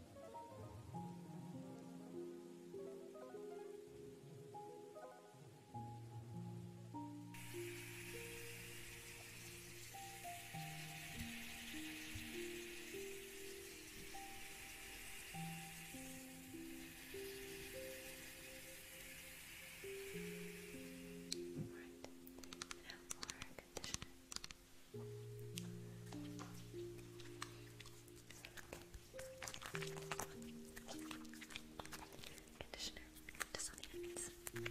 Right. Now for conditioner. Conditioner to science. Okay.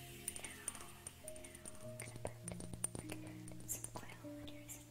I'm gonna put some oil on here, some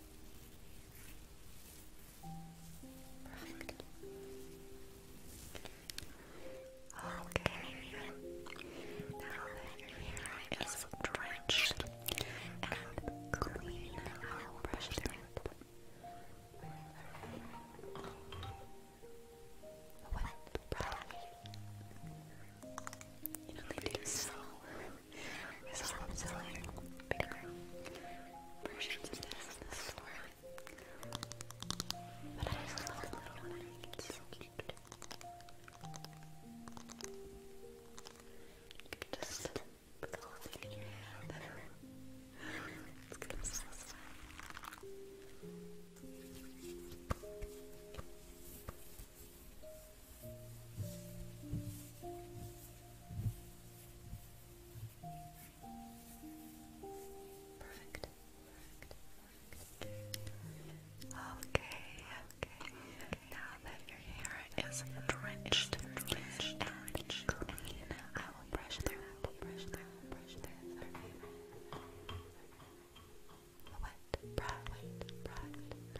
Perfect. Okay. Now your hair is drenched and clean, I brush it. Wet You is a best bigger this in the But I love the little one. it's so cute. You just the whole thing in your hand. It's going Perfect. Perfect. Okay, okay. Now that your hair is drenched, drenched, drenched, I will brush through, I will brush through, brush through. The wet, bright, bright, bright,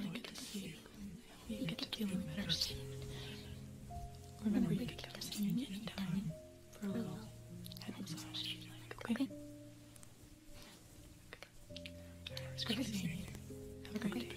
really good to see you. You, get, to feeling better soon. Remember, you can come see me anytime for a little okay? Okay. Have a great day.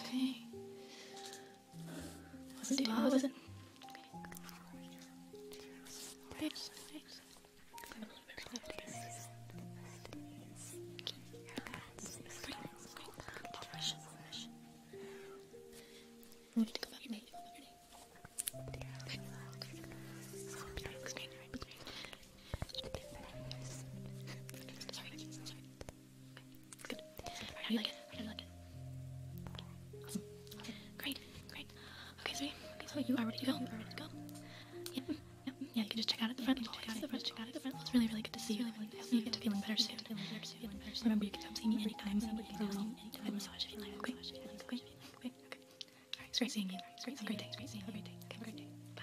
Okay. Was it Was it? I need to go back in. Sorry, sorry. Great, great. Okay, so, okay, so you are ready to go. You yeah, Yeah, you can just check out at the front. check out at the front. Check out at the front. It's really, really good to see you. Really, You get to Feeling better soon person. you Remember, you can come see me anytime. Okay. Okay. Okay. All right. great seeing you. Have a great day. Bye.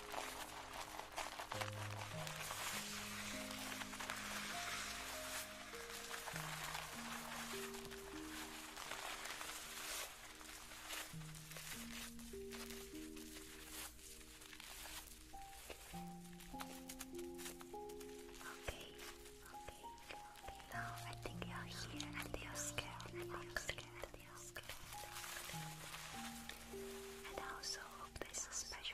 okay, okay. No, I think you're here and you're scared. I think scared, you're scared. And also hope this is special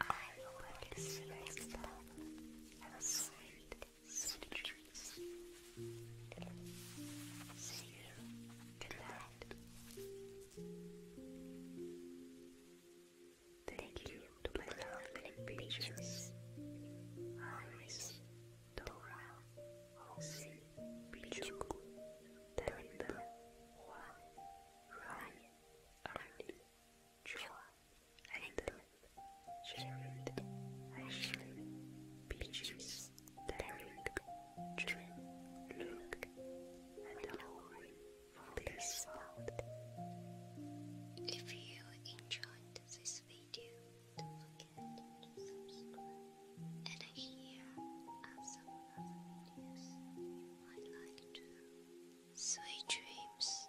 I see you next sweet dreams. See you. Good night. Thank you to my lovely beaches. Iris, Dora, Halsey, Pichuku, Darinda, Juan, Ryan, Arnie, Joa, Aiden, Jared, Ashley, Peaches, Derek, Jim, Luke, and Lauren for this spot. If you enjoyed this this video, don't forget to And here are some other videos you might like to. Sweet dreams.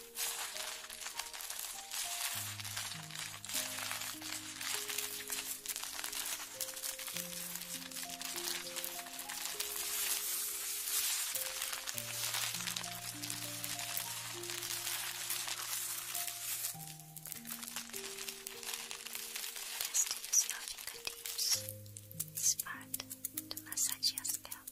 Still loving the tips. to massage your scalp.